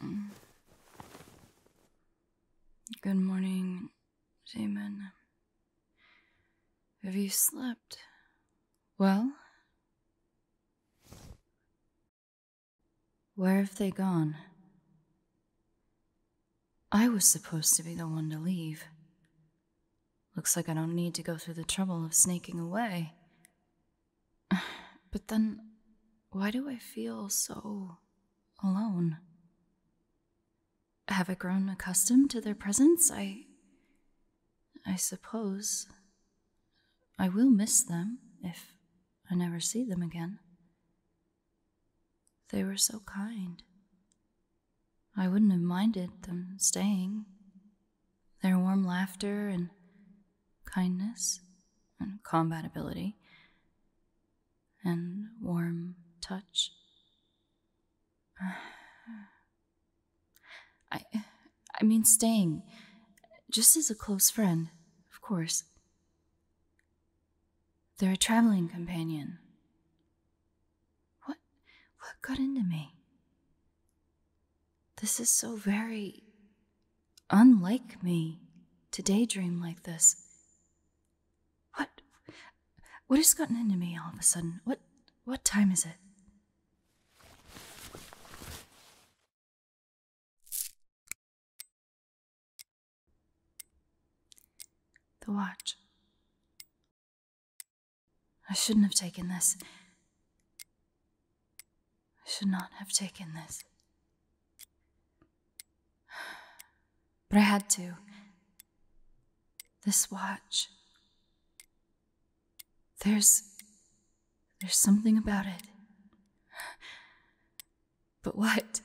Mm-hmm. Good morning, Jamin. Have you slept well? Where have they gone? I was supposed to be the one to leave. Looks like I don't need to go through the trouble of sneaking away. But then, why do I feel so alone? Have I grown accustomed to their presence? I. I suppose. I will miss them if I never see them again. They were so kind. I wouldn't have minded them staying. Their warm laughter and kindness and compatibility and warm touch. I I mean staying just as a close friend, of course. They're a traveling companion. What what got into me? This is so very unlike me to daydream like this. What what has gotten into me all of a sudden? What what time is it? The watch. I shouldn't have taken this. I should not have taken this. But I had to. This watch. There's. There's something about it. But what?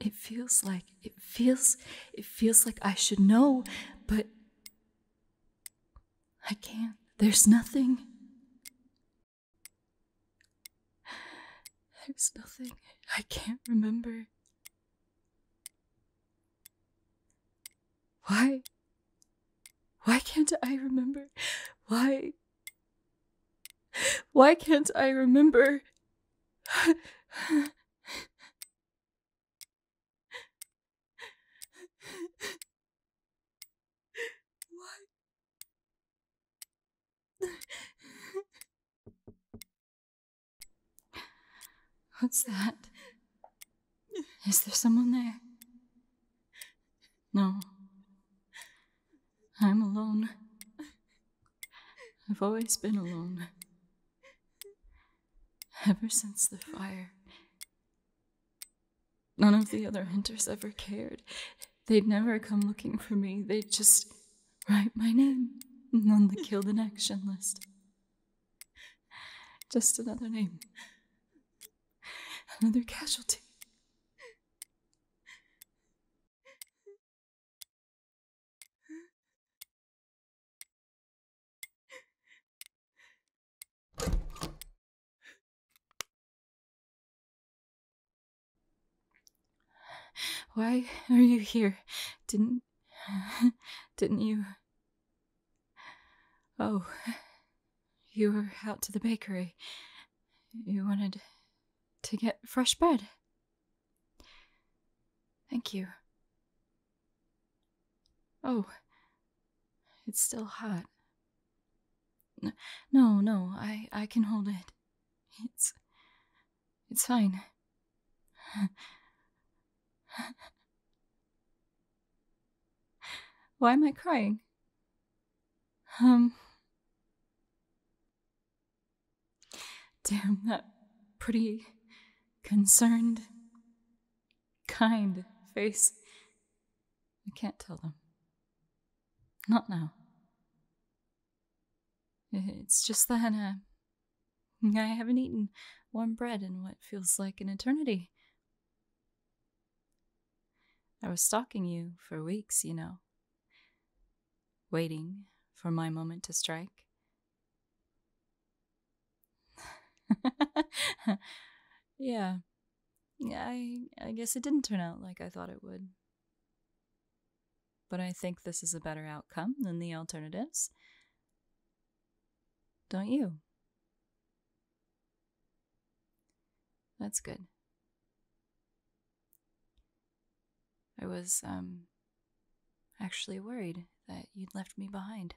It feels like, it feels, it feels like I should know, but I can't. There's nothing. There's nothing. I can't remember. Why? Why can't I remember? Why? Why can't I remember? Why? What's that? Is there someone there? No. I'm alone. I've always been alone. Ever since the fire. None of the other hunters ever cared. They'd never come looking for me. They'd just write my name on the killed in action list. Just another name. Another casualty. Why are you here? Didn't. didn't you. Oh. You were out to the bakery. You wanted to get fresh bread. Thank you. Oh, it's still hot. No, no, I, I can hold it. It's. it's fine. Why am I crying? Um. Damn that pretty, concerned, kind face. I can't tell them. Not now. It's just that uh, I haven't eaten warm bread in what feels like an eternity. I was stalking you for weeks, you know waiting for my moment to strike. yeah. Yeah, I I guess it didn't turn out like I thought it would. But I think this is a better outcome than the alternatives. Don't you? That's good. I was, um, actually worried that you'd left me behind.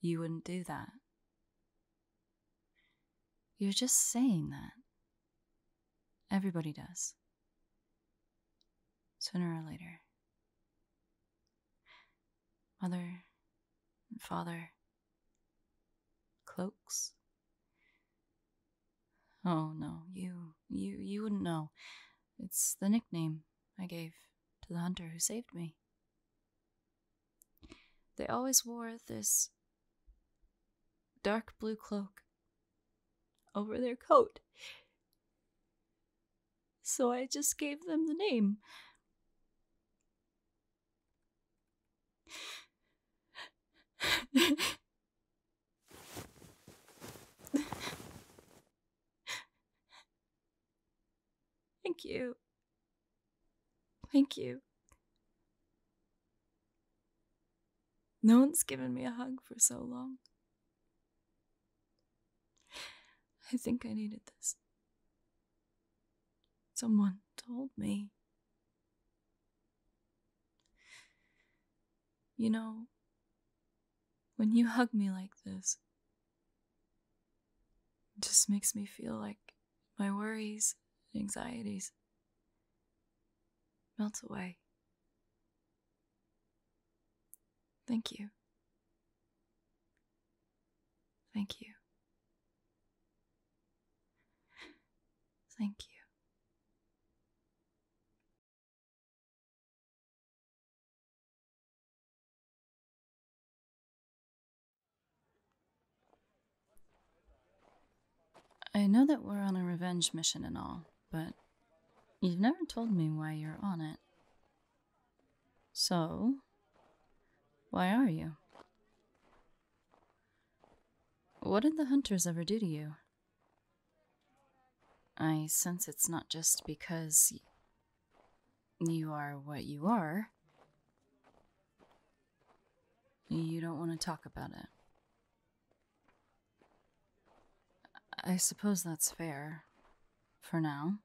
You wouldn't do that. You're just saying that. Everybody does. Sooner or later. Mother and father Cloaks? Oh no, you you you wouldn't know. It's the nickname I gave to the hunter who saved me. They always wore this dark blue cloak over their coat. So I just gave them the name. Thank you. Thank you. No one's given me a hug for so long. I think I needed this. Someone told me. You know, when you hug me like this, it just makes me feel like my worries and anxieties melt away. Thank you. Thank you. Thank you. I know that we're on a revenge mission and all, but you've never told me why you're on it. So, why are you? What did the hunters ever do to you? I sense it's not just because you are what you are. You don't want to talk about it. I suppose that's fair. For now.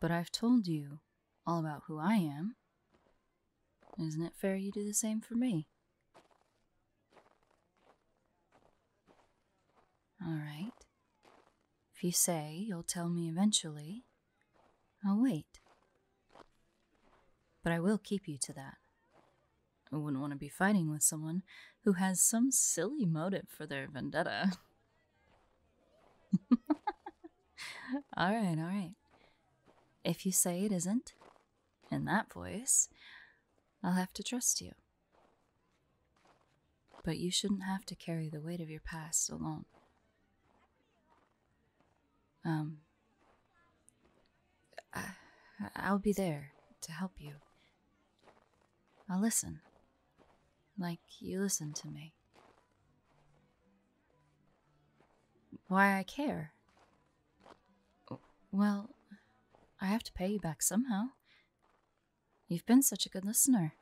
But I've told you all about who I am. Isn't it fair you do the same for me? All right. If you say you'll tell me eventually, I'll wait. But I will keep you to that. I wouldn't want to be fighting with someone who has some silly motive for their vendetta. all right, all right. If you say it isn't, in that voice, I'll have to trust you. But you shouldn't have to carry the weight of your past alone. Um, I, will be there to help you. I'll listen like you listen to me. Why I care? Well, I have to pay you back somehow. You've been such a good listener,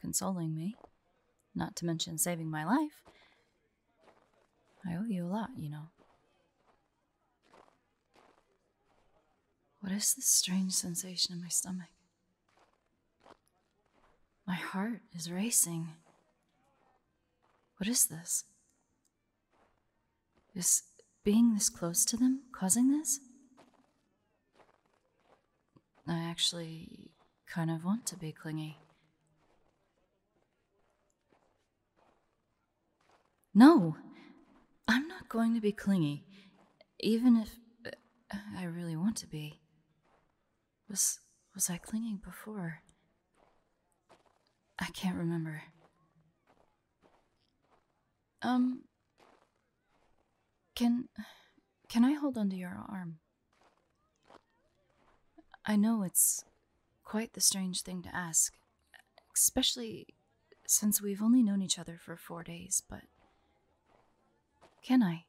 consoling me, not to mention saving my life. I owe you a lot, you know. What is this strange sensation in my stomach? My heart is racing. What is this? Is being this close to them causing this? I actually kind of want to be clingy. No, I'm not going to be clingy even if uh, I really want to be. Was was I clinging before? I can't remember. Um can can I hold onto your arm? I know it's quite the strange thing to ask, especially since we've only known each other for 4 days, but can I?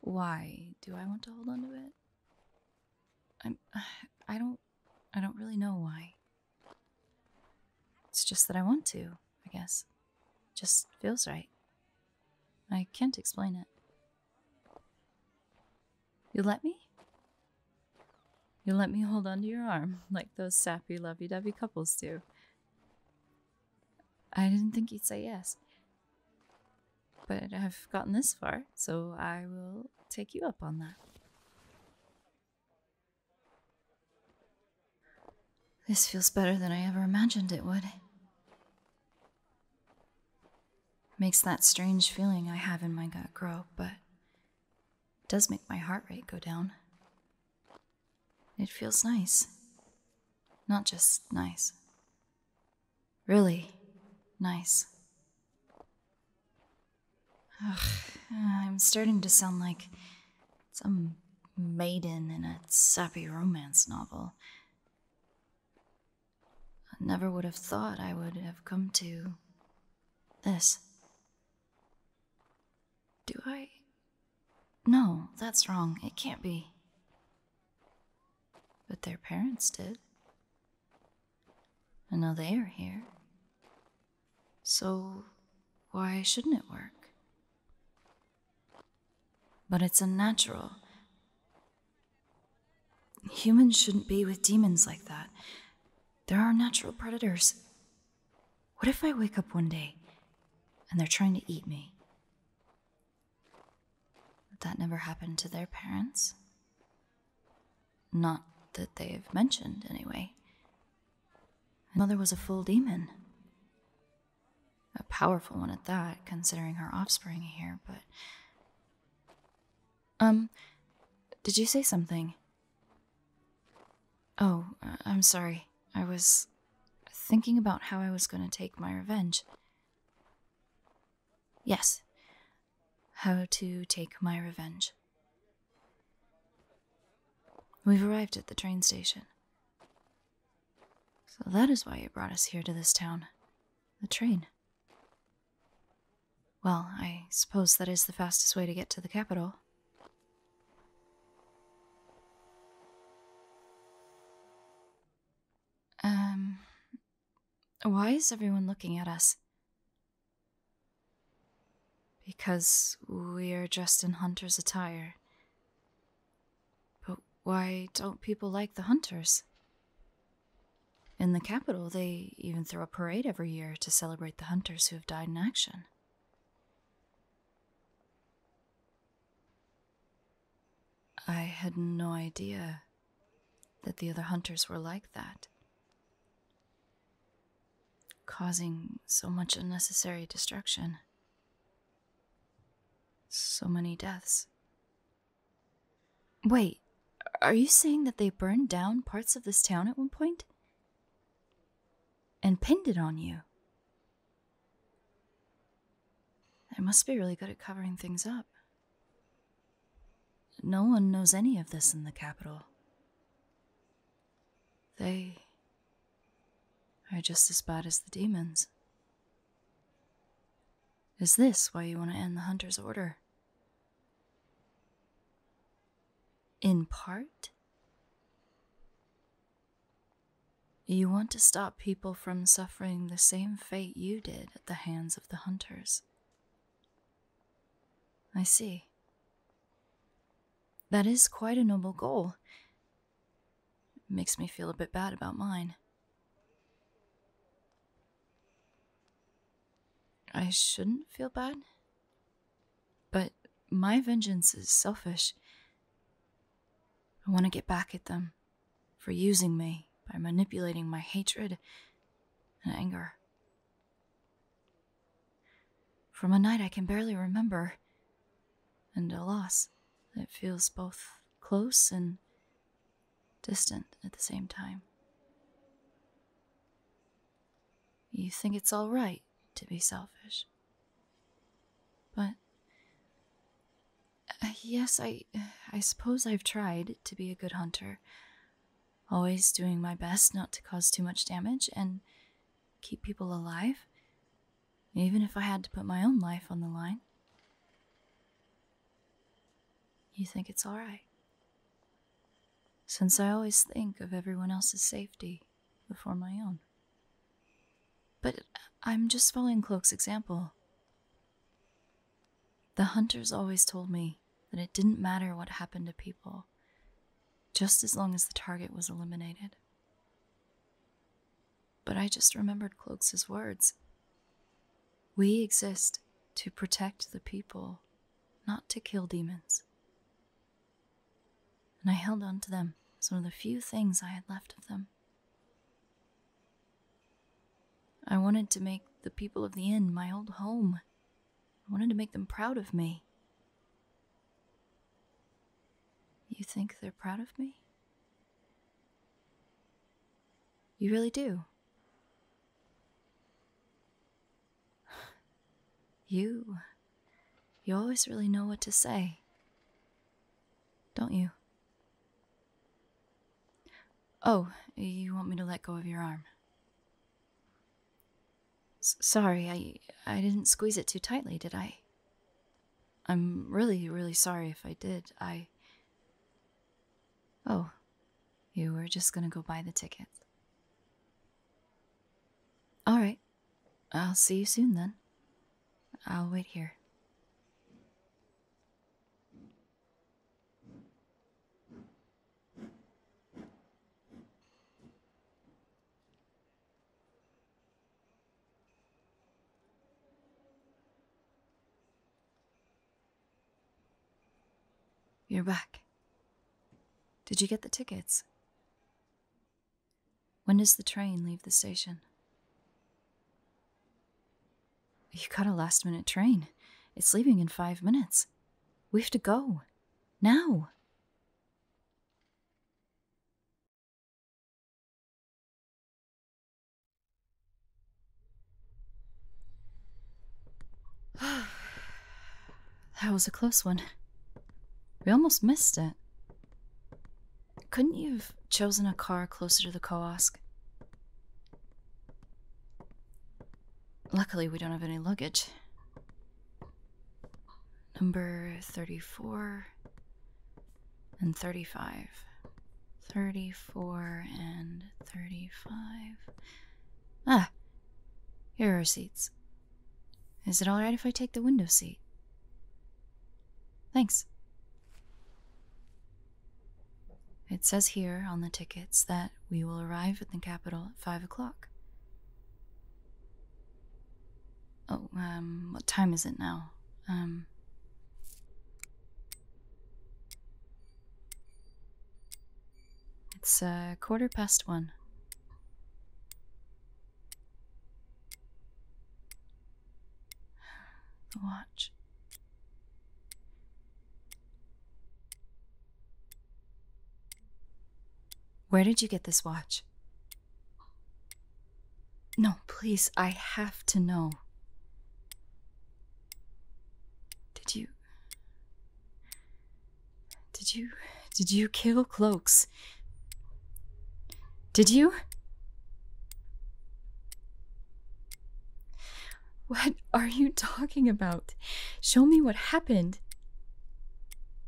Why do I want to hold on to it? I'm I I don't really know why. It's just that I want to, I guess. It just feels right. I can't explain it. You let me? You let me hold onto your arm like those sappy lovey dovey couples do. I didn't think you would say yes. But I've gotten this far, so I will take you up on that. This feels better than I ever imagined it would. Makes that strange feeling I have in my gut grow, but does make my heart rate go down. It feels nice. Not just nice. Really nice. Ugh, I'm starting to sound like some maiden in a sappy romance novel. never would have thought I would have come to this. Do I? No, that's wrong. It can't be. But their parents did. And now they are here. So, why shouldn't it work? But it's unnatural. Humans shouldn't be with demons like that. There are natural predators. What if I wake up one day and they're trying to eat me? That never happened to their parents. Not that they have mentioned, anyway. Mother was a full demon. A powerful one at that, considering her offspring here, but. Um, did you say something? Oh, uh, I'm sorry. I was thinking about how I was going to take my revenge. Yes. How to take my revenge. We've arrived at the train station. So that is why you brought us here to this town. The train. Well, I suppose that is the fastest way to get to the capital. Um, why is everyone looking at us? Because we are dressed in hunter's attire. But why don't people like the hunters? In the capital, they even throw a parade every year to celebrate the hunters who have died in action. I had no idea that the other hunters were like that, causing so much unnecessary destruction, so many deaths. Wait, are you saying that they burned down parts of this town at one point? and pinned it on you. They must be really good at covering things up. No one knows any of this in the capital. They are just as bad as the demons. Is this why you want to end the hunter's order? In part? You want to stop people from suffering the same fate you did at the hands of the hunters. I see. That is quite a noble goal. It makes me feel a bit bad about mine. I shouldn't feel bad? But my vengeance is selfish. I want to get back at them for using me by manipulating my hatred and anger. From a night I can barely remember, and a loss that feels both close and distant at the same time. You think it's all right to be selfish. But uh, yes, I I suppose I've tried to be a good hunter, always doing my best not to cause too much damage and keep people alive, even if I had to put my own life on the line. You think it's all right? since I always think of everyone else's safety before my own. But I'm just following Cloak's example. The hunters always told me that it didn't matter what happened to people, just as long as the target was eliminated. But I just remembered Cloak's words. We exist to protect the people not to kill demons. And I held on to them as one of the few things I had left of them. I wanted to make the people of the inn my old home. I wanted to make them proud of me. You think they're proud of me? You really do. You. You always really know what to say. Don't you? Oh, you want me to let go of your arm? sorry, I I didn't squeeze it too tightly, did I? I'm really, really sorry if I did. I Oh, you were just gonna go buy the ticket. All right. I'll see you soon then. I'll wait here. You're back. Did you get the tickets? When does the train leave the station? You got a last minute train. It's leaving in five minutes. We have to go. Now. that was a close one. We almost missed it. Couldn't you have chosen a car closer to the kiosk? Luckily, we don't have any luggage. Number 34 and 35. 34 and 35. Ah, here are seats. Is it all right if I take the window seat? Thanks. It says here on the tickets that we will arrive at the capital at five o'clock. Oh, um, what time is it now? Um. It's a uh, quarter past one. The watch. Where did you get this watch? No, please, I have to know. Did you. Did you. Did you kill Cloaks? Did you? What are you talking about? Show me what happened.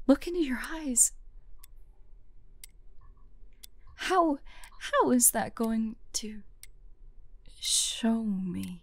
Look into your eyes. How. How is that going to. show me?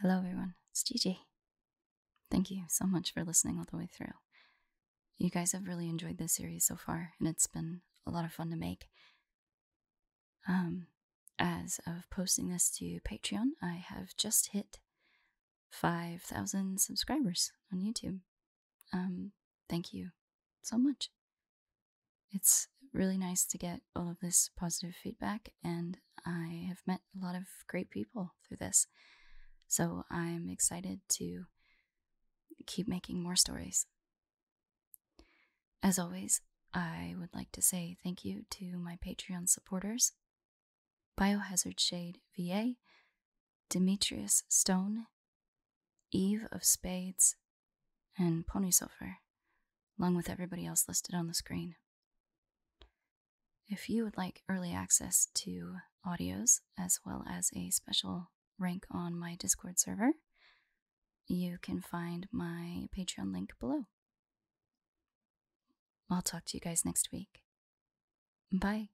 Hello, everyone. It's Gigi. Thank you so much for listening all the way through. You guys have really enjoyed this series so far, and it's been a lot of fun to make. Um, as of posting this to Patreon, I have just hit 5,000 subscribers on YouTube. Um, thank you so much. It's really nice to get all of this positive feedback, and I have met a lot of great people through this. So I'm excited to keep making more stories. As always, I would like to say thank you to my Patreon supporters Biohazard Shade VA, Demetrius Stone, Eve of Spades, and Pony Silver, along with everybody else listed on the screen. If you would like early access to audios as well as a special rank on my Discord server, you can find my Patreon link below. I'll talk to you guys next week. Bye.